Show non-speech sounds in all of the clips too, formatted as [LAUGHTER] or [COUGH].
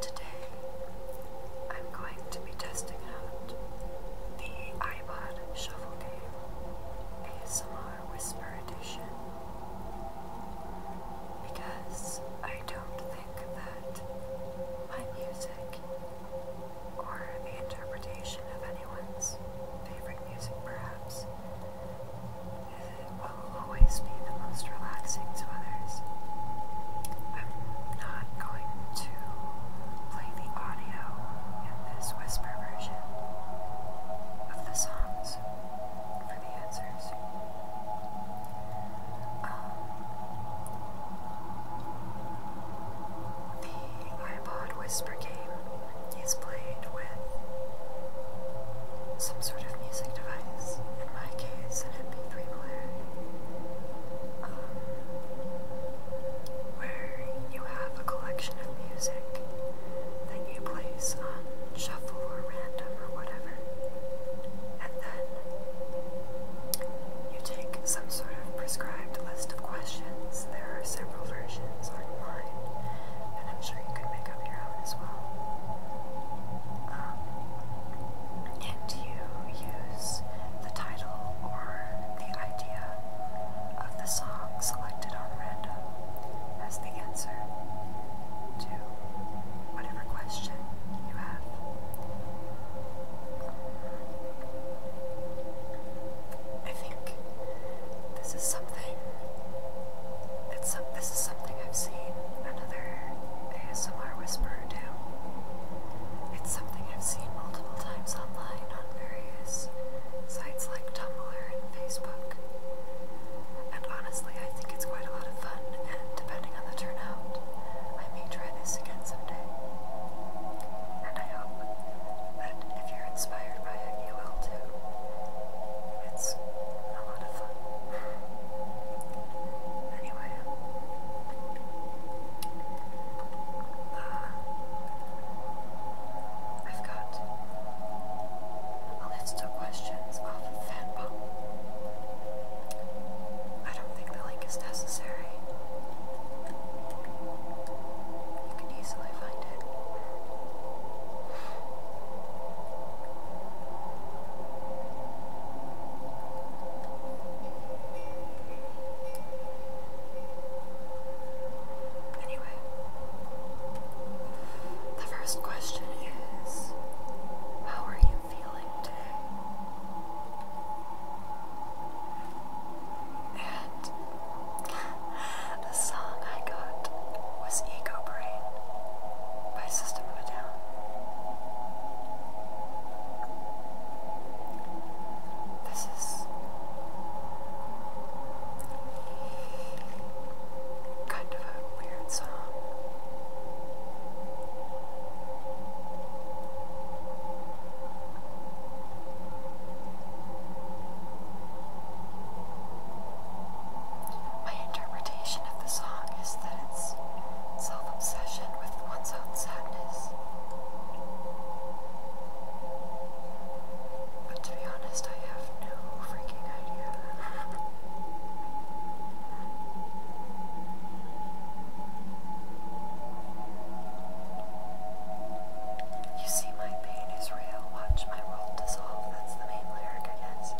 Today, I'm going to be testing out the iPod Shuffle Game ASMR Whisper Edition because I don't think that my music or the interpretation of it anyone's favorite music, perhaps. It will always be the most relaxing to others. i not going to play the audio in this whisper version of the songs for the answers. Um, the iPod Whisper game is played with some sort of music device, in my case, an MP3 player, um, where you have a collection of music that you place shuffle or random or whatever, and then you take some sort of prescribed list of questions there are several versions online, and I'm sure you can make up your own as well. Um, and you use the title or the idea of the song selected on random as the answer to whatever question you have. I think this is something. It's some, this is something I've seen another ASMR whisperer do. It's something I've seen multiple times online on various sites like Tumblr and Facebook. And honestly, I think it's quite a lot of fun, and depending on the turnout, I may try this again someday. And I hope that if you're inspired inspired by too. It's a lot of fun. Anyway, uh, I've got a list of questions off of I don't think the link is necessary. You can easily find it. Anyway, the first question is How are you feeling today? And the song I got was Ego Brain by System of a Down. This is kind of a weird song. My interpretation of the song is that it's self obsession with one's own sadness. But to be honest, I have no freaking idea. [LAUGHS] You see, my pain is real. Watch my world dissolve. That's the main lyric, I guess.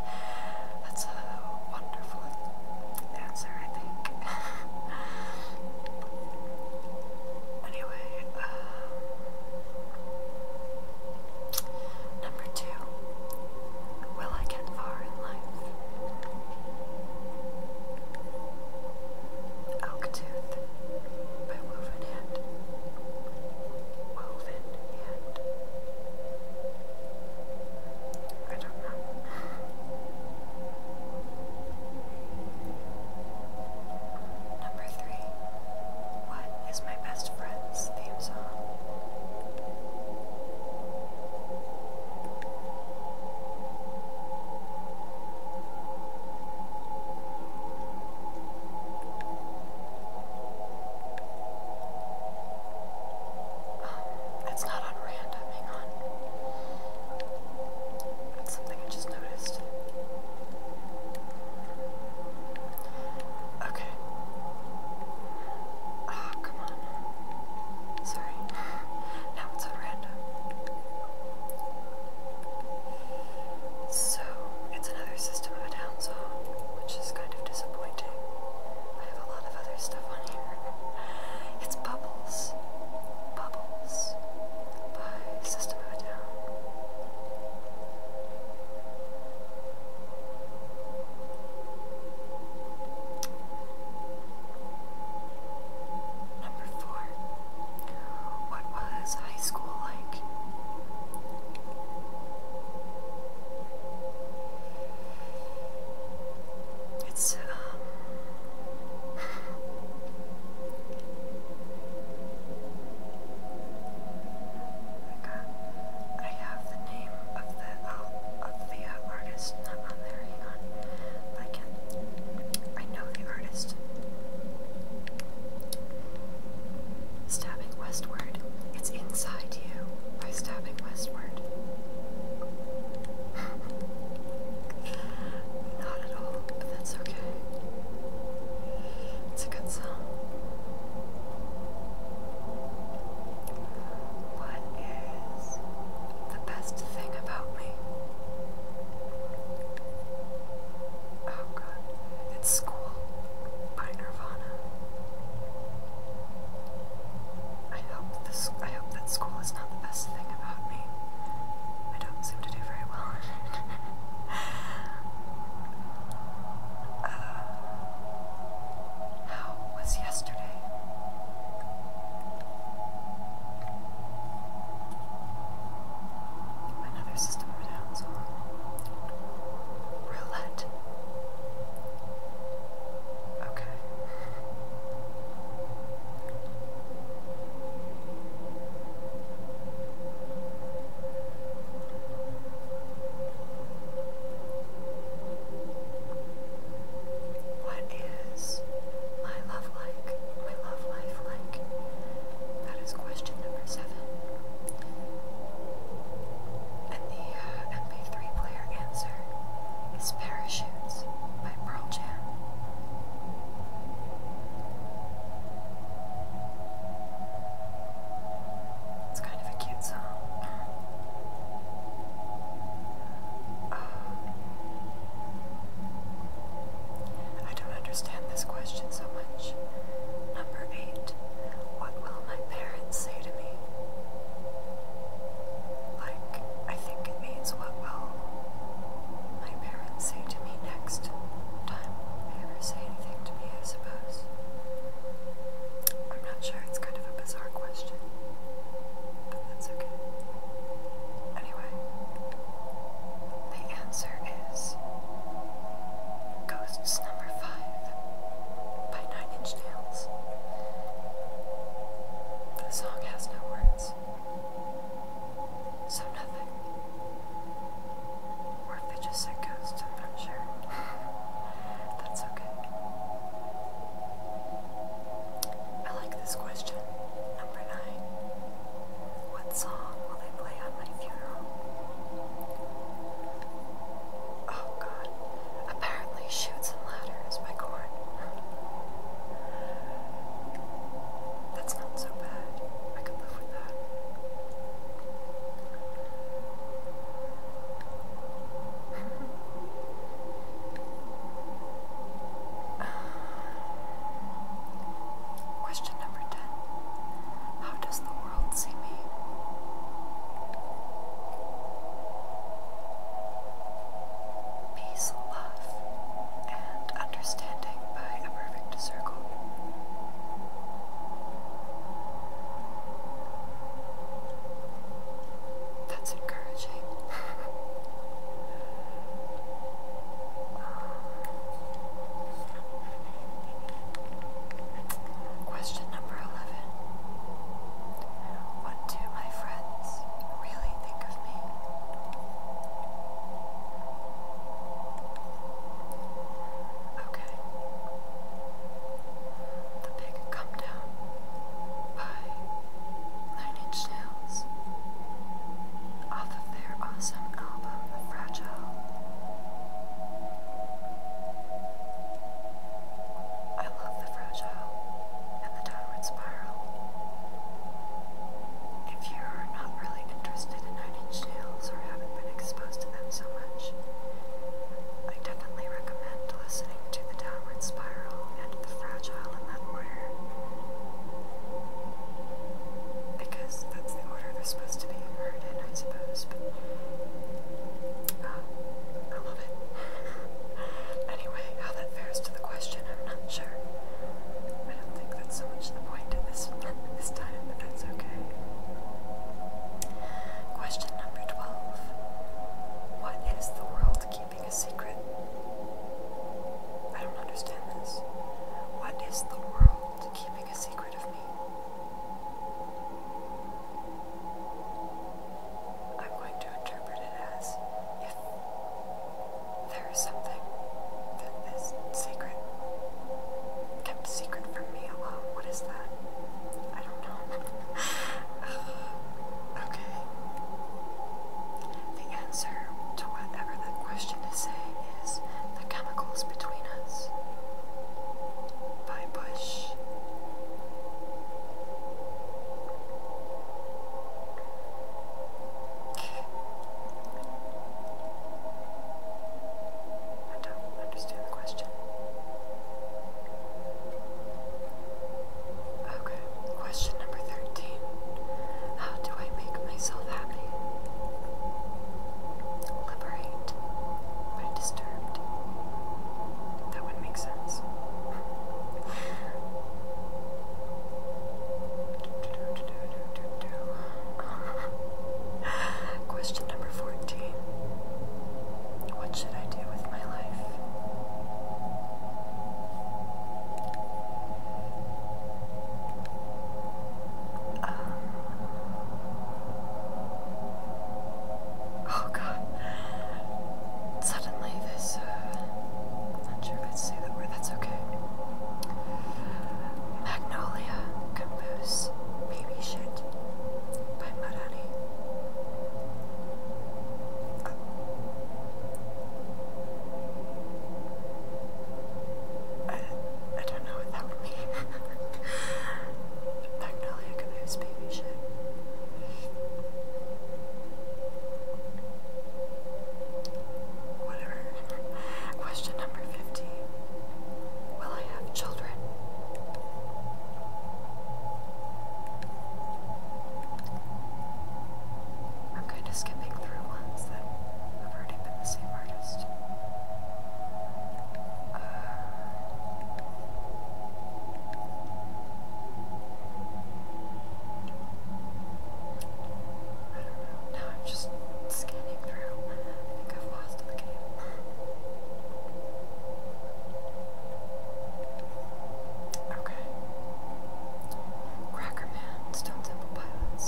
That's a wonderful answer, I think. [LAUGHS] anyway, uh, number two. Will I get far in life? Elk by Woven hand, woven hand. I don't know. Number three. What is my best friend's theme song? Oh, it's not on random, hang on. That's something I just noticed. Okay. Ah, come on. Sorry. [SIGHS] now it's on random. So, it's another System of a Down song, which is kind of disappointing. I have a lot of other stuff on here. It's Bubbles. Bubbles by System of a Down. Number four. What was high school like? It's, um. [SIGHS] I, have the name of the, of the uh, artist not on there, hang But I can I know the artist. Stabbing westward, it's inside you by stabbing westward. [LAUGHS] Not at all, but that's okay. It's a good song. What is the best thing about me? Oh god, it's School by Nirvana. I hope this. I hope that school is not the best thing about me. I don't seem to do very well. [LAUGHS] uh, how was yesterday? another system of down, so roulette. Okay. What is my love like? My love life like? That is question number seven. And the uh, MP3 player answer is Parachutes by Pearl Jam. It's kind of a cute song. Uh, I don't understand this question so much. Number eight, what will my parents say to me? Like, I think it means what will my parents say to me next time they ever say anything to me, I suppose. I'm not sure, it's kind of a bizarre question, but that's okay anyway? The answer is Ghosts Number 5 by Nine Inch Nails. The song has no words, so nothing. Or they just said ghosts, I'm not sure. [LAUGHS] That's okay. I like this question, number nine. What song will they play on my funeral? Oh god. Apparently Shoots and Ladders by Korn. That's not so bad. I could live with that. [LAUGHS] Question number 10 How does the world see me? Peace, love, and understanding by a perfect circle. That's encouraging. [LAUGHS] Um, Question number 11 What do my friends really think of me? Okay. The Big Come Down by Nine Inch Nails their awesome album, Fragile. I love the Fragile and the Downward Spiral. If you're not really interested in Nine Inch Nails or haven't been exposed to them so much, I definitely recommend listening to the Downward Spiral and the Fragile in that order. Because that's the order they're supposed to be heard in, I suppose. But, uh, I love it. [LAUGHS] anyway, how that fares to the question, I'm not sure. I don't think that's so much the point at this, this time, but that's okay. Question number 12 What is the world keeping a secret? I don't understand this. What is the world keeping a secret of me. I'm going to interpret it as if there is something that is secret, kept secret from me alone. Oh, what is that? I don't know. [LAUGHS] okay. The answer to whatever that question is saying is the chemicals between us. By Bush. I don't understand the question. Okay, question number 13. How do I make myself happy? Liberate, but disturbed. That would make sense. [LAUGHS] Question number 14 What should I do with my life? Um, oh god. Suddenly this, uh, I'm not sure if I'd say that word, that's okay. Magnolia Campus Baby Shit by Marani. I, I don't know what that would mean. [LAUGHS] Magnolia Caboose baby shit. Whatever. Question number 50. Will I have children? I'm kind of skipping through the same artist. Uh, I don't know. Now I'm just scanning through. I think I've lost the game. okay. Cracker Stone Temple Pilots.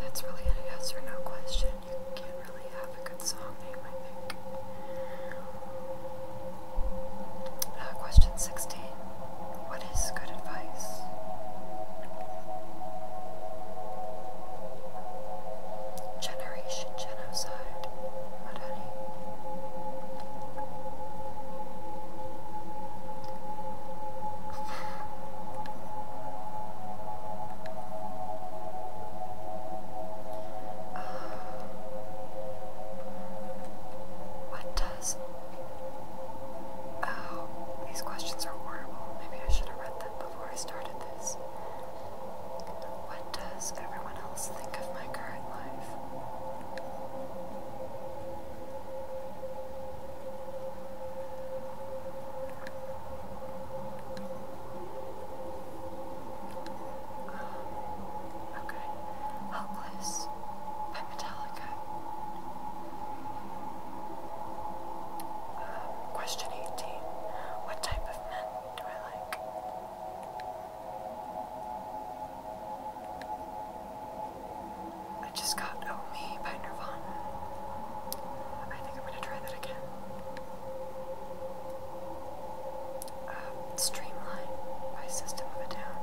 That's really a yes or no question. You can't really have a good song name, I think. Uh, question 16. What is good advice? Generation genocide. Madani. What does. Oh, these questions are horrible. Maybe I should have read them before I started this. What does everyone else think of my current life? Um, okay. Helpless Metallica. Um, question 18. What type of men do I like? I just got Oh Me by Nirvana. I think I'm gonna try that again. Uh, Streamline by System of a Down.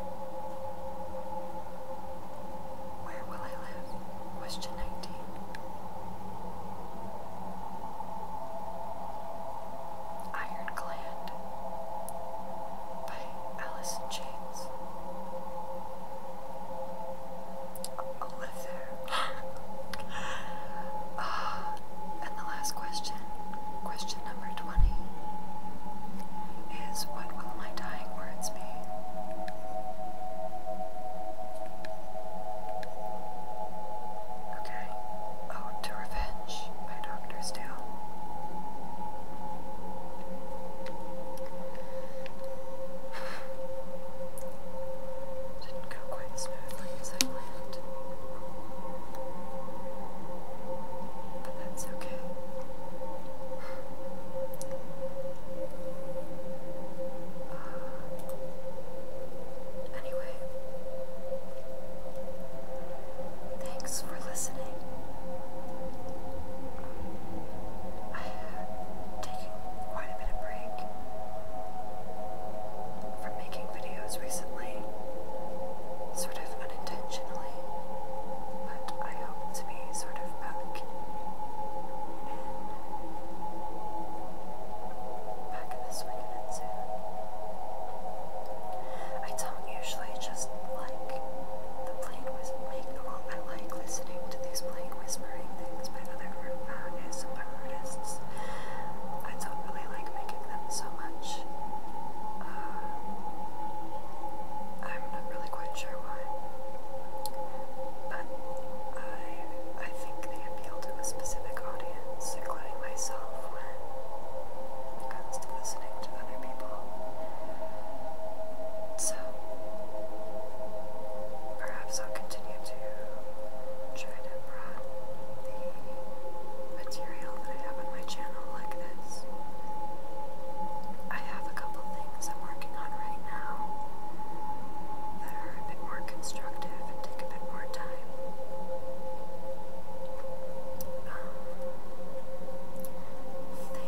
Where Will I Live? Question 19. Iron by Alice in Yes. I'll live there. [GASPS] Ah, and the last question, question number 20, is what will my dying words be? Okay. Oh, to revenge, my doctor still. Didn't go quite smoothly as I planned. But that's okay. Uh, anyway, thanks for listening. I quite a bit of break from making videos recently, sort of unintentionally, but I hope to be sort of back back in the soon. I don't usually just like the plain was I like listening to these plain whispering things by other uh, artists. I don't really like making them so much. Uh, I'm not really quite sure why. But I I think they appeal to a specific audience, including myself comes to listening to other people. So, perhaps I'll continue to try to broaden the material that I have on my channel like this. I have a couple things I'm working on right now that are a bit more constructive and take a bit more time. Um,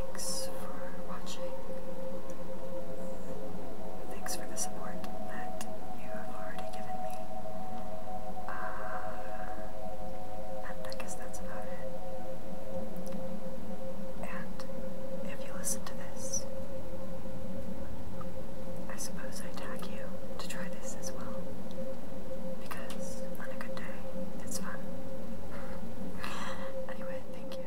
Thanks for watching. Thanks for the support that you have already given me. Uh, and I guess that's about it. And if you listen to this, I suppose I tag you to try this as well. Because on a good day, it's fun. [LAUGHS] Anyway, thank you.